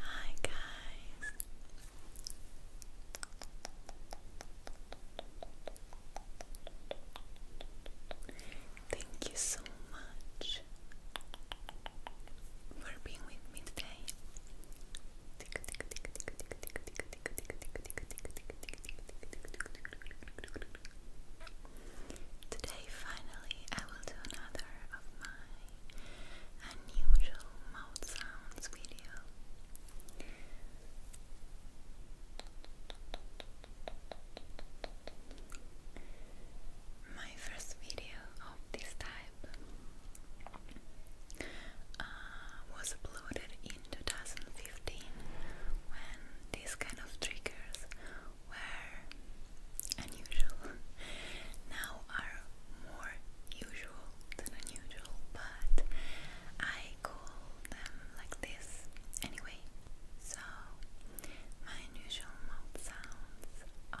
Hi guys. Thank you so much for being with me today. Today, finally, I will do another of my unusual mouth sounds video. My first video of this type uh, was uploaded in 2015 when these kind of triggers were unusual. now are more usual than unusual, but I call them like this anyway. So my unusual mouth sounds are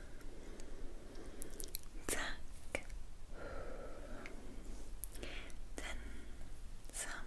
Tack. Then some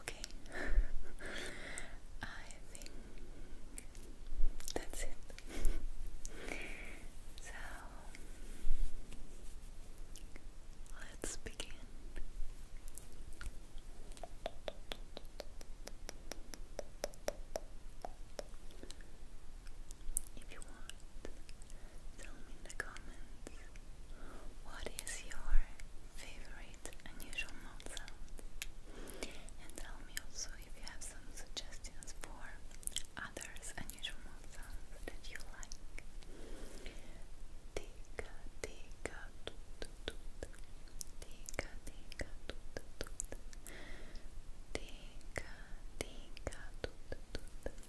Okay. I think that's it. so let's begin. If you want, tell me in the comments what is your favorite create unusual mouth sounds. And tell me also if you have some suggestions for others unusual mouth sounds that you like. Tika, tika, toot, toot. Tika, tika, toot, toot. Tika, tika, toot, toot. Tika,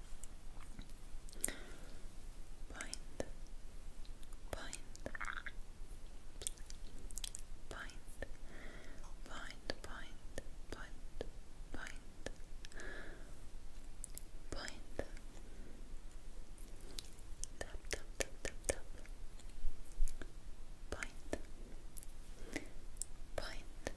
point, point, point, point, point, point, point, point, tap, tap, tap, tap, tap, point, point, point.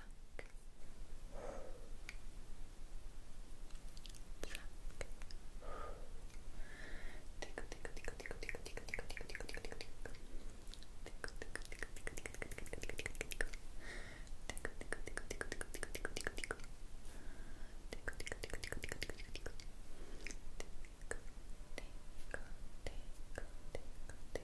Pluck. Pluck. Tickle, tickle, tickle, tickle, tickle, tickle, tickle, tickle, tickle, tickle, tickle. Tickle, tickle, tickle, tickle, tickle, tickle, tickle, tickle, tickle. Tickle, tickle, tickle, tickle, tickle, tickle, tickle, tickle, tickle. Tickle, tickle, tickle, tickle, tickle, tickle, tickle. Tickle, tickle, tickle, tickle, tickle, tickle.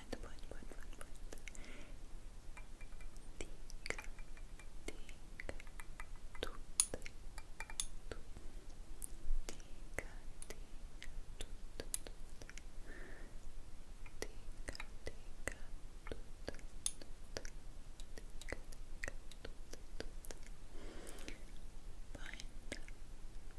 point, point, point, point, point. Tik,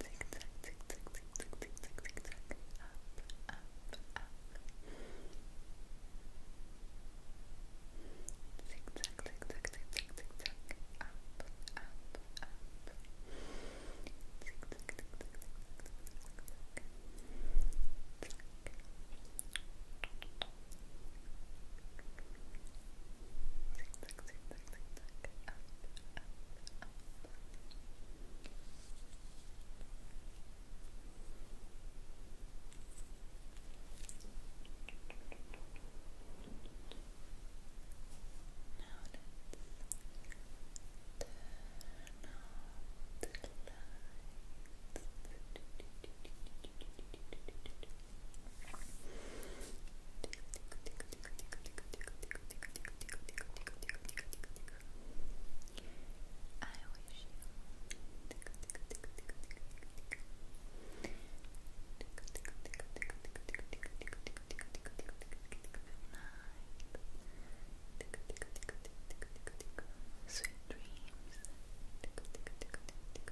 Zig zag, zig zag, zig zag, zig zag, zig zag, up, up, up. Zig zag, zig zag, zig zag, zig zag, up, up, up. Zig zag, zig zag, zig zag, zig zag, zig tuck, tuck, turn off the lights. I wish you Sweet dreams.